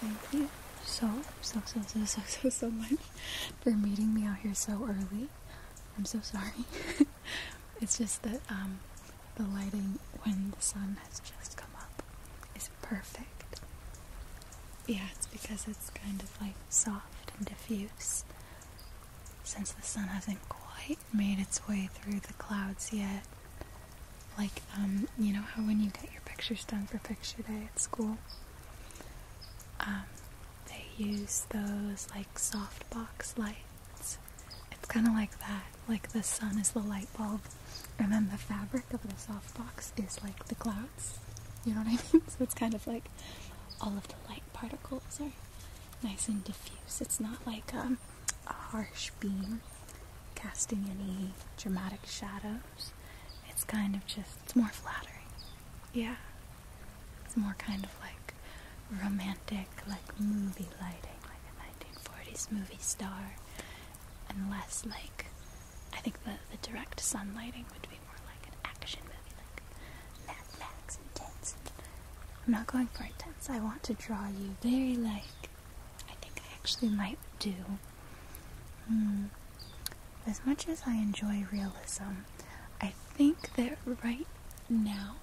Thank you so, so, so, so, so, so, much for meeting me out here so early. I'm so sorry. it's just that um, the lighting when the sun has just come up is perfect. Yeah, it's because it's kind of like soft and diffuse. Since the sun hasn't quite made its way through the clouds yet. Like, um, you know how when you get your pictures done for picture day at school? Um, they use those like softbox lights. It's kind of like that. Like the sun is the light bulb, and then the fabric of the softbox is like the clouds. You know what I mean? So it's kind of like all of the light particles are nice and diffuse. It's not like um, a harsh beam casting any dramatic shadows. It's kind of just, it's more flattering. Yeah, it's more kind of like romantic, like movie lighting, like a 1940s movie star, and less like I think the, the direct sun lighting would be more like an action movie, like Mad Max intense. I'm not going for intense. I want to draw you very like I think I actually might do. Hmm. As much as I enjoy realism, I think that right now,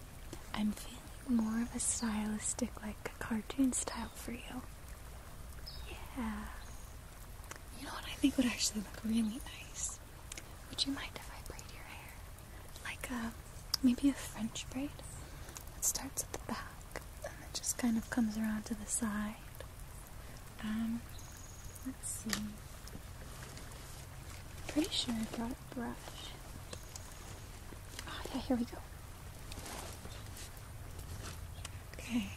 I'm feeling more of a stylistic, like a cartoon style for you. Yeah. You know what I think would actually look really nice? Would you mind if I braid your hair? Like a, uh, maybe a French braid? It starts at the back and then just kind of comes around to the side. Um, Let's see. Pretty sure I brought a brush. Oh, yeah, here we go. Okay.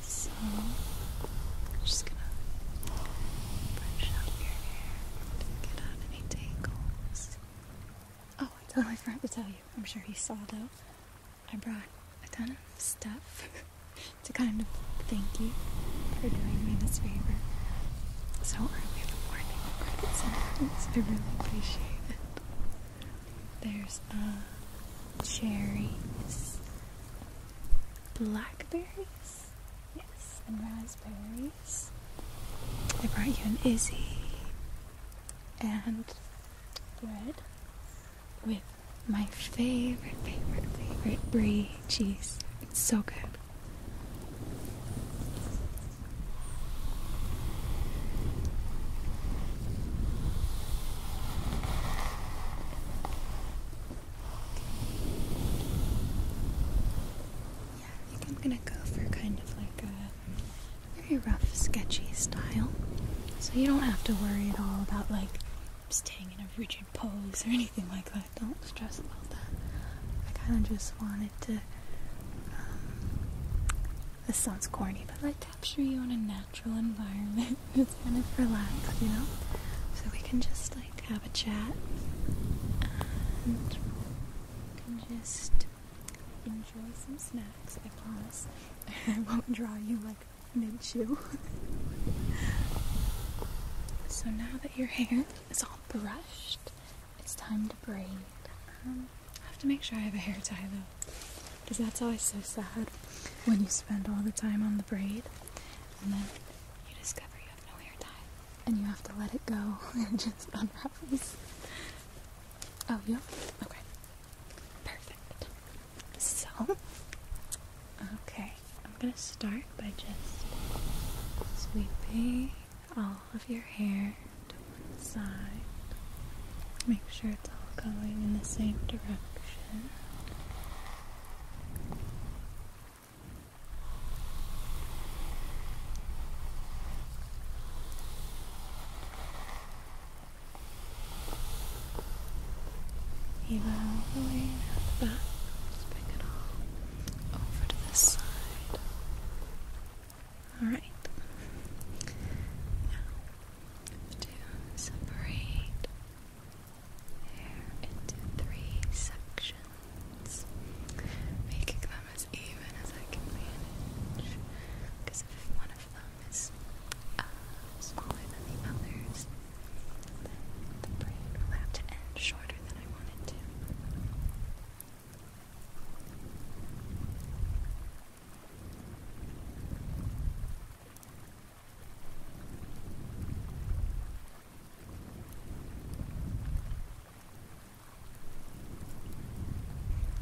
So, I'm just gonna brush out your hair get out any tangles. Oh, I totally forgot to tell you. I'm sure he saw though. I brought a ton of stuff to kind of thank you for doing me this favor so early in the morning. I really appreciate it. There's uh, cherries, blackberries, yes, and raspberries. I brought you an Izzy and bread with my favorite, favorite, favorite brie Jeez, it's so good. Yeah, I think I'm gonna go for kind of like a very rough, sketchy style. So you don't have to worry at all about like staying in a rigid pose or anything like that so don't stress about that. I kind of just wanted to. Um, this sounds corny, but I capture you in a natural environment. it's kind of relaxed, you know? So we can just like have a chat and we can just enjoy some snacks, I promise. I won't draw you like mid chew. so now that your hair is all brushed, it's time to braid. Um, I have to make sure I have a hair tie though, because that's always so sad when you spend all the time on the braid and then you discover you have no hair tie and you have to let it go and just unravels. Oh, you? Okay. Perfect. So, okay. I'm gonna start by just sweeping all of your hair to one side. Make sure it's all going in the same direction. Even all the way back, just it all over to this side. Alright. Now, to separate hair into three sections, making them as even as I can manage. Because if one of them is uh, smaller than the others, then the braid will have to end shorter than I want.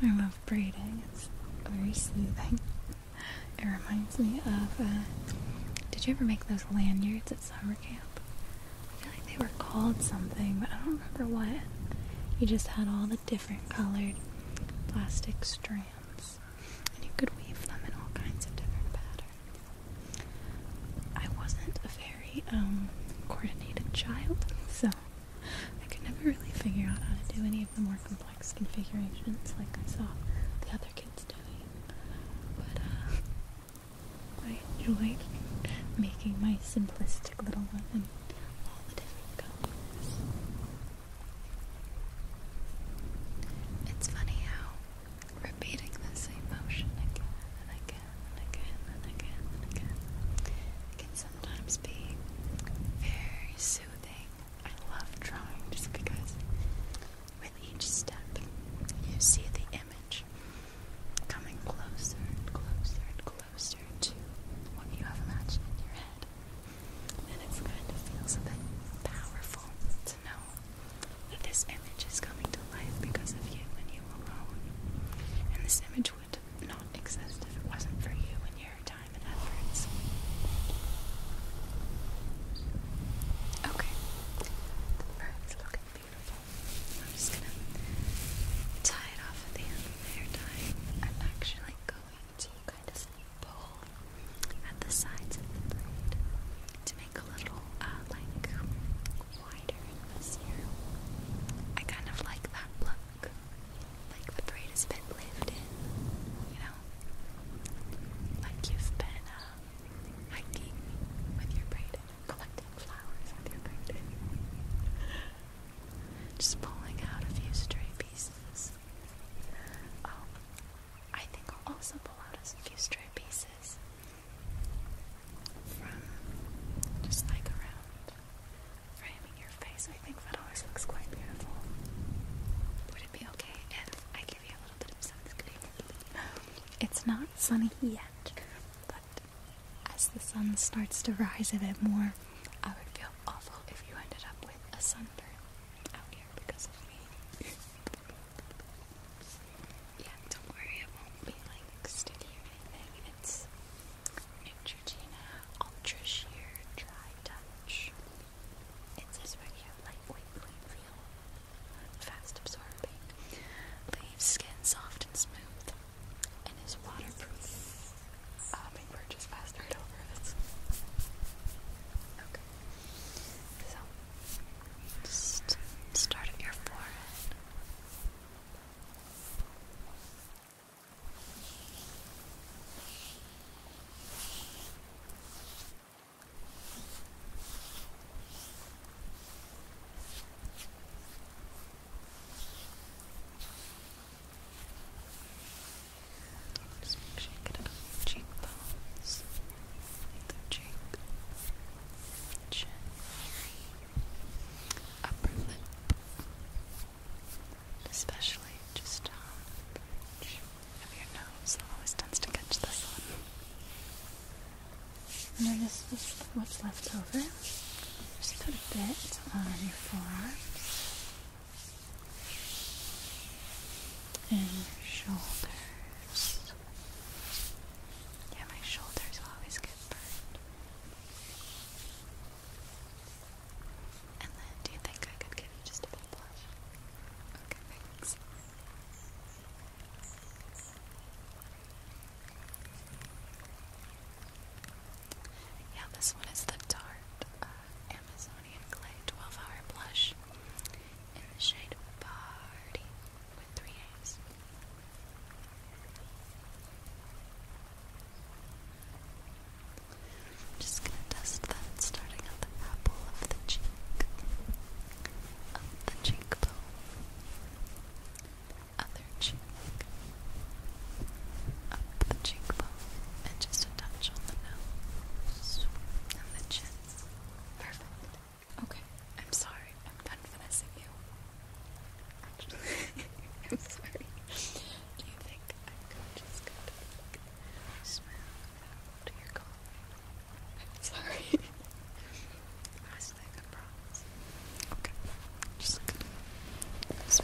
I love braiding, it's very soothing. It reminds me of, uh, did you ever make those lanyards at summer camp? I feel like they were called something, but I don't remember what. You just had all the different colored plastic strands, and you could weave them in all kinds of different patterns. I wasn't a very um, coordinated child, so I could never really figure out how to do any of the more complex configurations like I saw the other kids doing. But uh, I enjoy making my simplistic little one in all the different colors. It's funny how repeating the same motion again and again and again and again and again can sometimes be very soothing. I love drawing just because with each step you see the image coming closer and closer and closer to what you have imagined in your head. And it kind of feels a bit powerful to know that this image is coming to life because of you and you alone. And this image would not exist if it wasn't for you and your time and efforts. Okay. Birds looking Beautiful. I'm just gonna tie it off at the end of the hair I'm actually going to kind of pull at the sides to make a little, uh, like, wider I kind of like that look. Like the braid has been lived in, you know? Like you've been, uh, hiking with your braid collecting flowers with your fingertips. Just pulling out a few stray pieces. Oh, I think I'll also pull out a few stray pieces from just like around framing your face. I think that always looks quite beautiful. Would it be okay if I give you a little bit of sunscreen? It's not sunny yet but as the sun starts to rise a bit more, I would feel awful if you ended up with a sunburn out here because of me. yeah, don't worry, it won't be like sticky or anything. It's Neutrogena Ultra Sheer Dry Touch. It's this regular lightweight blue fast absorbing, leaves skin soft and smooth, and is waterproof. Uh, Hummingbird just passed right So, just start at your forehead. Just make you it on your cheekbones, either cheek, chin, upper lip, especially just down um, of your nose. always tends to catch this one. And then this is what's left over. Just put a bit on your forearms and your shoulders. Yeah, my shoulders always get burned. And then, do you think I could give you just a bit of blush? Okay, thanks. Yeah, this one is the Tarte uh, Amazonian Clay 12 Hour Blush in the shade Party with three A's. I'm just gonna test that starting at the apple of the cheek, of the cheekbone other cheek, up the cheekbone, and just a touch on the nose and the chin. Perfect. Okay, I'm sorry. I'm done finessing you. Actually, I'm sorry. Do you think I could just go to like, smooth out your I'm sorry. Okay. Just gonna just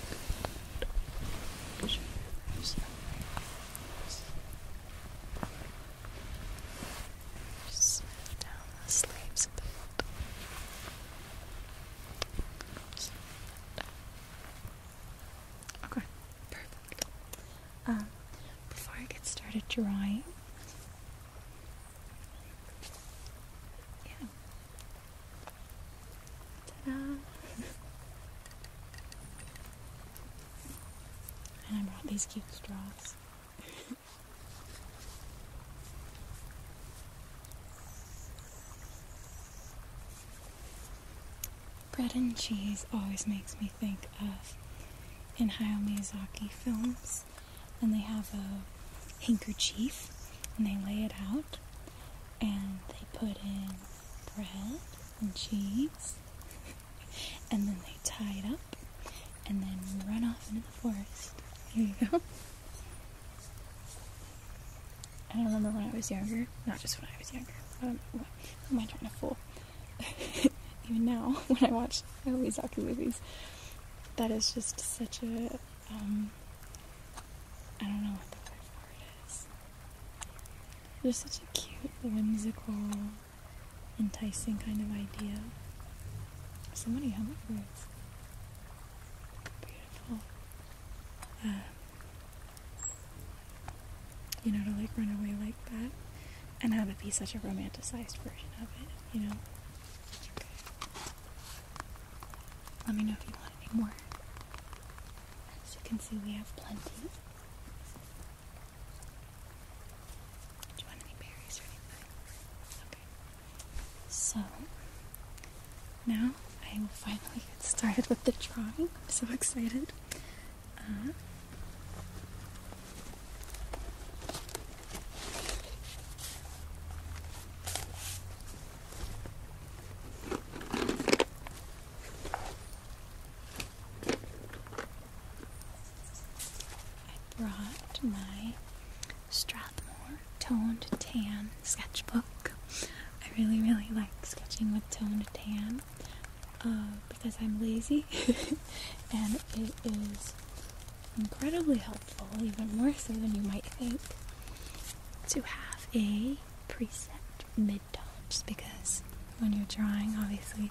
down the sleeves a Okay, perfect. Um, before I get started drawing, yeah. Ta-da! and I brought these cute straws. Bread and cheese always makes me think of Hayao Miyazaki films. And they have a handkerchief and they lay it out and they put in bread and cheese and then they tie it up and then run off into the forest. There you go. I remember when I was younger. Not just when I was younger. I am I trying to fool? Even now, when I watch I always Miyazaki movies, that is just such a um, don't know what the word for it is. There's such a cute, whimsical, enticing kind of idea. So many hummingbirds. Beautiful. Um, you know, to like run away like that and have it be such a romanticized version of it, you know? Let me know if you want any more. As you can see, we have plenty. Do you want any berries or anything? Okay. So, now I will finally get started with the drawing. I'm so excited. Uh, I brought my Strathmore toned tan sketchbook. I really, really like sketching with toned tan uh, because I'm lazy and it is incredibly helpful, even more so than you might think, to have a preset mid-tone. Just because when you're drawing, obviously,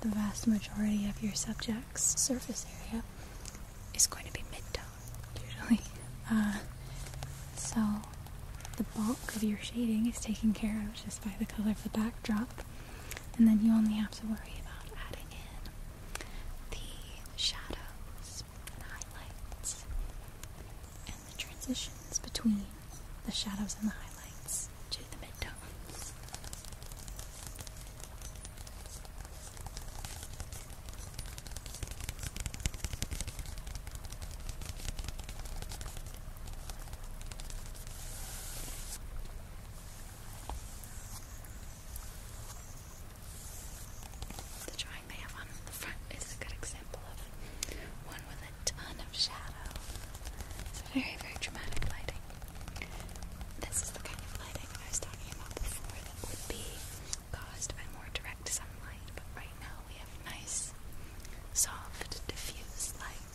the vast majority of your subject's surface area is going to be mid-tone, usually. Uh, so the bulk of your shading is taken care of just by the color of the backdrop, and then you only have to worry about adding in the shadows and highlights and the transitions between the shadows and the highlights to the midtones. The drawing they have on the front is a good example of one with a ton of shadow. It's very, very dramatic lighting. This is the kind of lighting I was talking about before that would be caused by more direct sunlight, but right now we have nice, soft, diffuse light.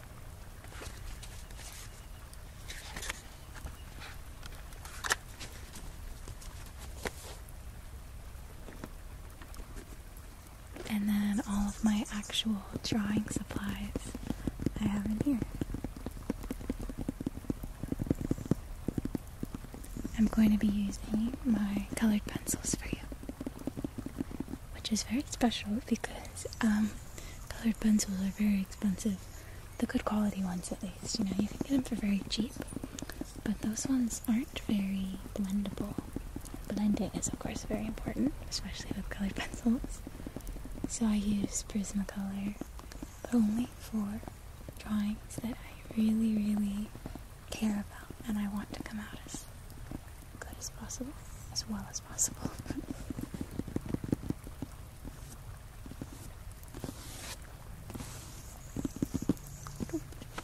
And then all of my actual drawing supplies I have in here. I'm going to be using my colored pencils for you, which is very special because um, Colored pencils are very expensive. The good quality ones, at least. You know, you can get them for very cheap. But those ones aren't very blendable. Blending is, of course, very important, especially with colored pencils. So I use Prismacolor, only for drawings that I really, really care about and I want to come out as good as possible, as well as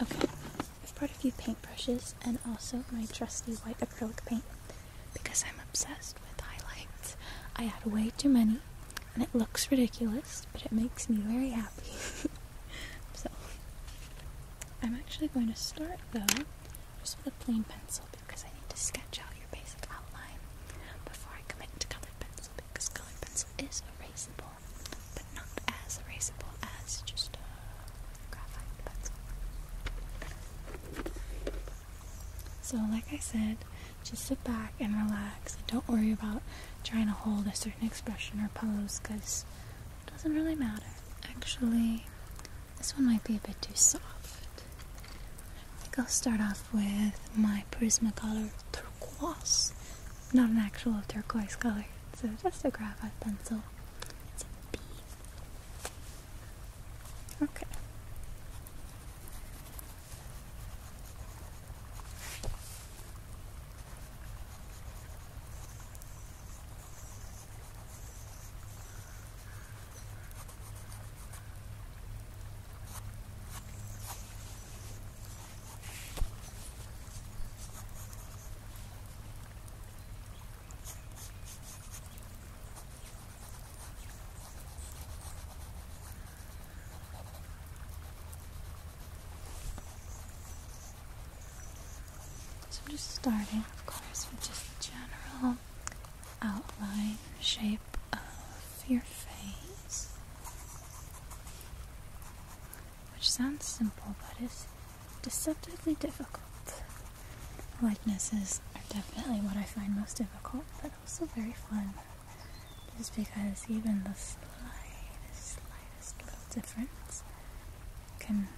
Okay, I've brought a few paintbrushes and also my trusty white acrylic paint because I'm obsessed with highlights. I had way too many and it looks ridiculous, but it makes me very happy. so, I'm actually going to start though plain pencil because I need to sketch out your basic outline before I commit to colored pencil because colored pencil is erasable, but not as erasable as just a graphite pencil. So, like I said, just sit back and relax. And don't worry about trying to hold a certain expression or pose because it doesn't really matter. Actually, this one might be a bit too soft. I will start off with my Prismacolor turquoise. Not an actual turquoise color, so just a graphite pencil. It's a B. Okay. So I'm just starting, of course, with just the general outline shape of your face, which sounds simple but is deceptively difficult. Likenesses are definitely what I find most difficult, but also very fun. Just because even the slightest, slightest little difference can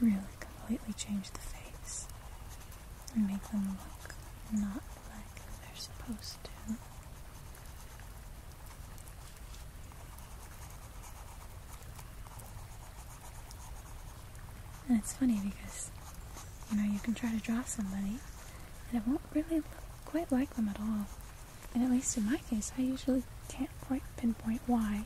really completely change the face and make them look not like they're supposed to. And it's funny because, you know, you can try to draw somebody and it won't really look quite like them at all. And at least in my case, I usually can't quite pinpoint why.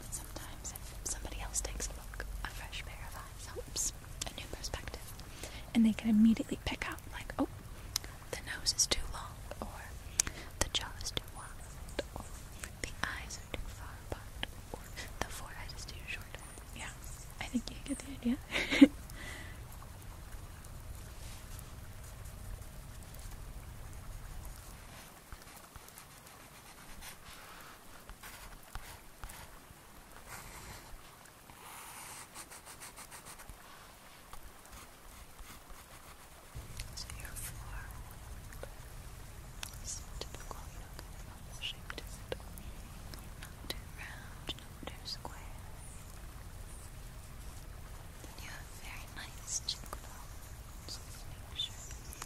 But sometimes if somebody else takes a look, a fresh pair of eyes oops, a new perspective. And they can immediately pick out, like, oh, the nose is too long, or the jaw is too wide, or the eyes are too far apart, or the forehead is too short. Yeah, I think you get the idea. So your floor is typical yoga shape to Not too round, not too square. you have very nice chinko so make sure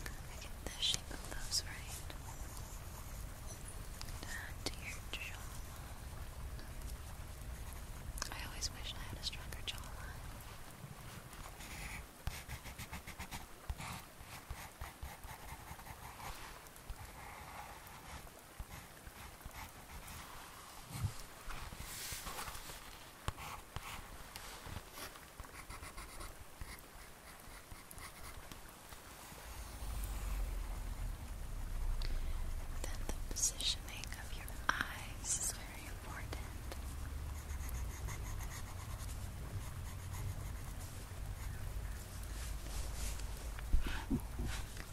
I get the shape of those right and your I always wish I had a stronger jawline. Then the positioning of your eyes is very important.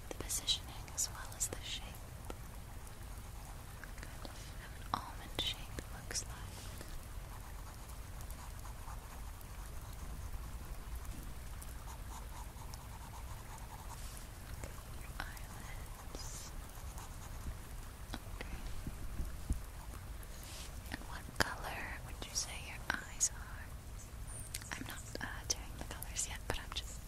The positioning as well as the shape. Kind an almond shape, looks like. Your And what color would you say your eyes are? I'm not uh, doing the colors yet, but I'm just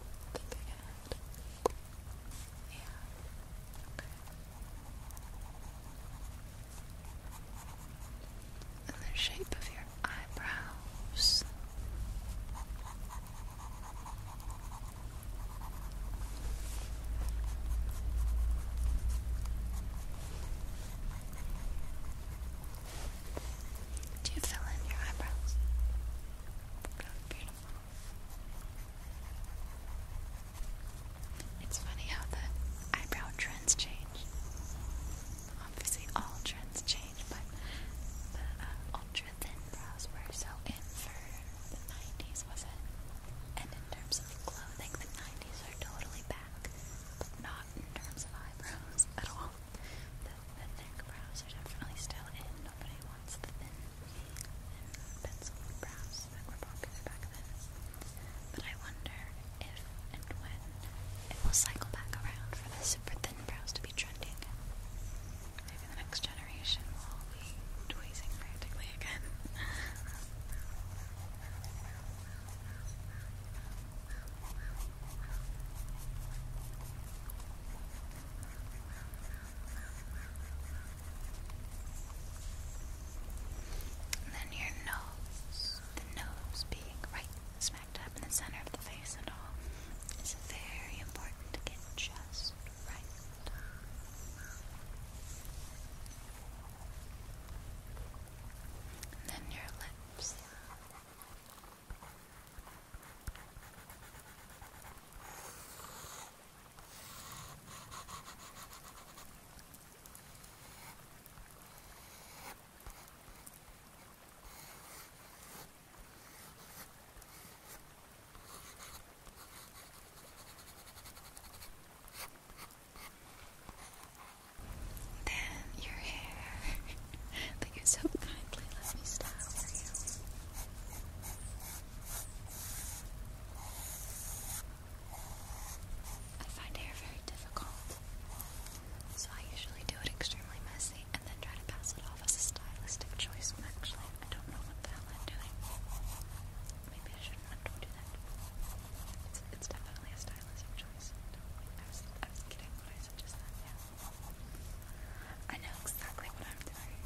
and the shape of your eyebrows. Do you fill in your eyebrows? Really beautiful. It's funny how the eyebrow trends change obviously all trends change, but the uh, ultra thin brows were so in for the 90s, was it? And in terms of clothing, the 90s are totally back, but not in terms of eyebrows at all. The, the brows are definitely still in. Nobody wants the thin pencil brows that were popular back then. But I wonder if and when it will cycle back around for the super thin brows to be trendy Maybe the next generation will be tweezing practically again. then your nose, the nose being right right smack in the center of the face and all. It's very important to get just right. then your lips. Then your hair that you so kindly let me style for you. I find hair very difficult, so I usually do it extremely messy and then try to pass it off as a stylistic choice when actually I don't know what the hell I'm doing. Maybe I shouldn't have told you that. It's, it's definitely a stylistic choice. I was, I was kidding when I said just that, yeah. I know exactly what I'm doing.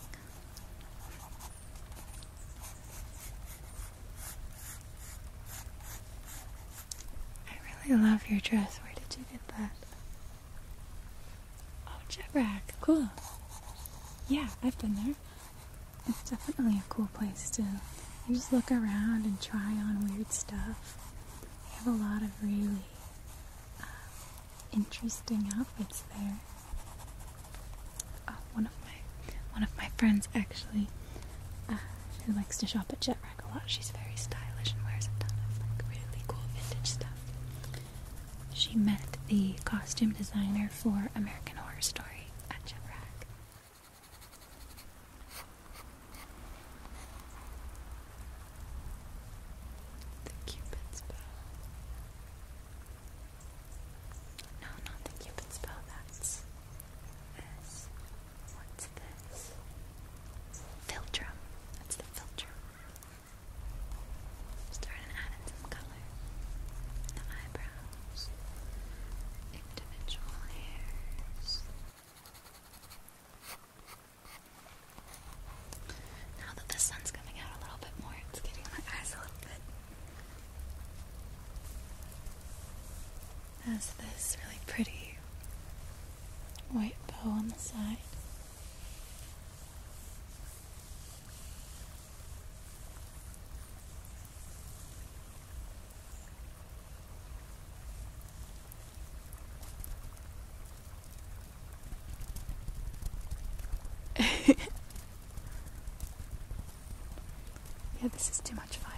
I really love your dress. Where did you get that? Oh, Jebrack. Cool. Yeah, I've been there. It's definitely a cool place to just look around and try on weird stuff. They have a lot of really uh, interesting outfits there. Oh, one of my one of my friends actually, uh, who likes to shop at Jet She's very stylish and wears a ton of like really cool vintage stuff. She met the costume designer for American Horror Story at Jeprack. The Cupid's bow. No, not the Cupid's bow. That's this. That's the filter. Starting to some color. The eyebrows. Individual hairs. Now that the sun's coming out a little bit more, it's getting my eyes a little bit has this really pretty white bow on the side. yeah, this is too much fun.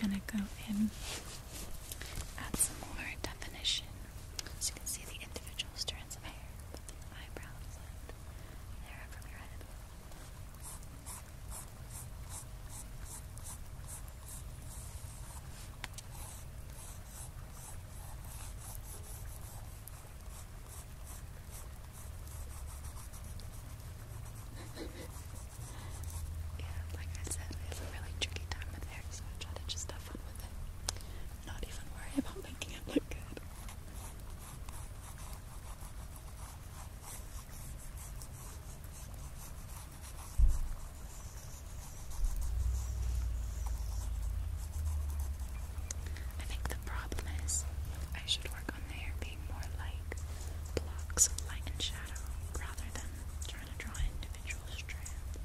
Gonna go in, add some more definition so you can see the individual strands of hair, eyebrows and they're really yeah, like I said, we have a really tricky time with hair, so I try to just have fun with it. Not even worry about making it look good. I think the problem is I should work on the hair being more like blocks of light and shadow rather than trying to draw individual strands.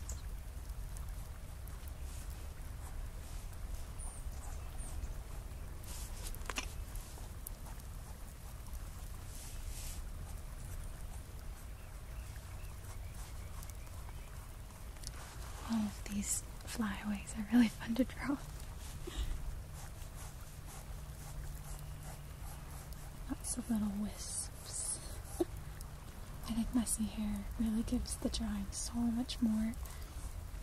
All of these flyaways are really fun to draw. Lots of little wisps. I think messy hair really gives the drawing so much more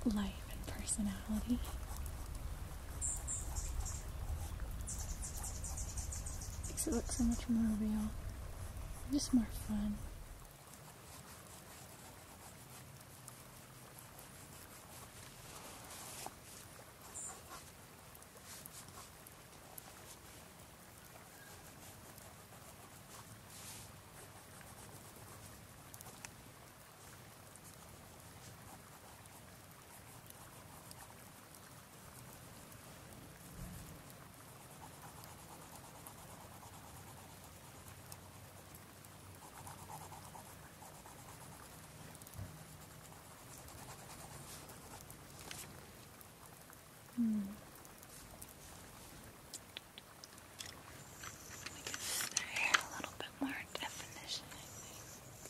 life and personality. Makes it look so much more real. Just more fun. Mm. We give the hair a little bit more definition, I think.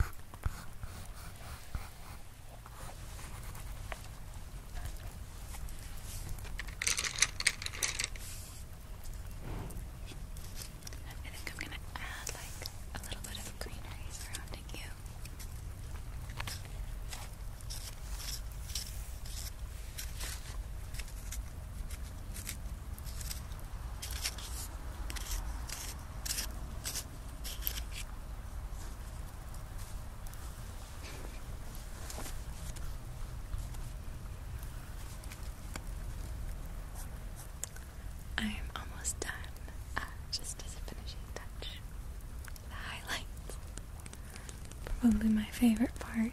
I think I'm gonna add like a little bit of greenery surrounding you. I'm almost done, uh, just as a finishing touch. The highlights. Probably my favorite part.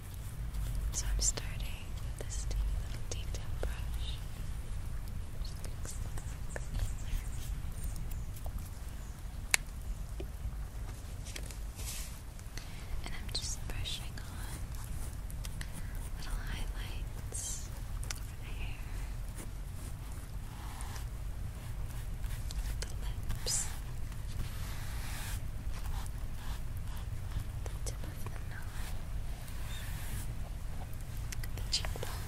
So I'm starting with this little detail brush. and I'm just brushing on little highlights for the hair, the lips, the tip of the nose at the cheekbone.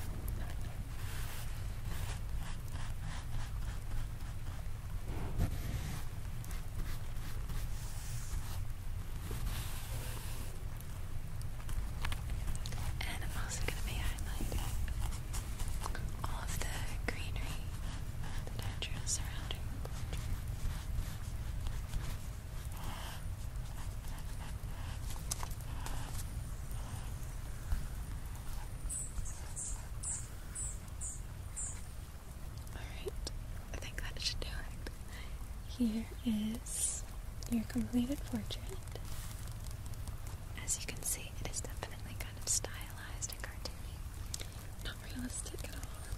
And I'm also going to be highlighting all of the greenery that I drew Alright, I think that should do it. Here is your completed portrait. As you can see, it is definitely kind of stylized and cartoony. Not realistic at all.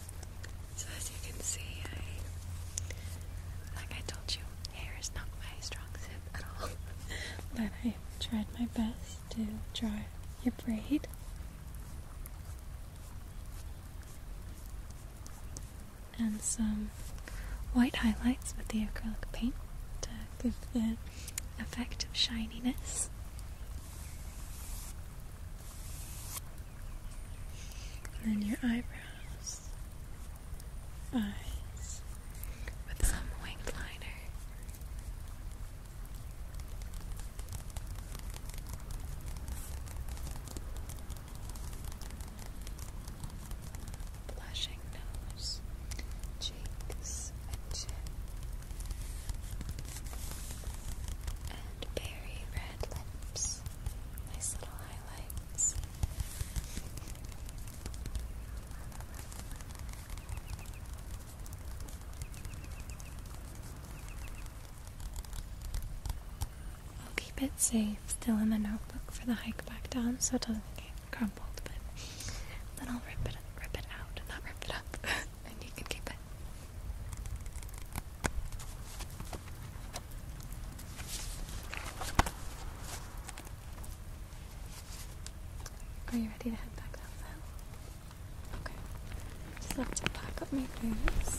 So as you can see, I, like I told you, hair is not my strong suit at all. but I tried my best to draw your braid. And some white highlights with the acrylic paint to give the effect of shininess and then your eyebrows, eyes with some winged liner. Blushing nose, cheeks, and chin, and berry red red lips. Nice little highlights. I'll keep it safe, still in the notebook for the hike back down, so it doesn't get crumpled. But then I'll rip it, rip it out, not rip it up. Are you ready to head back out now? Okay. Just have to pack up my things.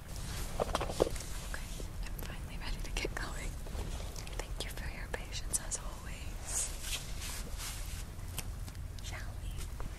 Okay, I'm finally ready to get going. Thank you for your patience as always. Shall we?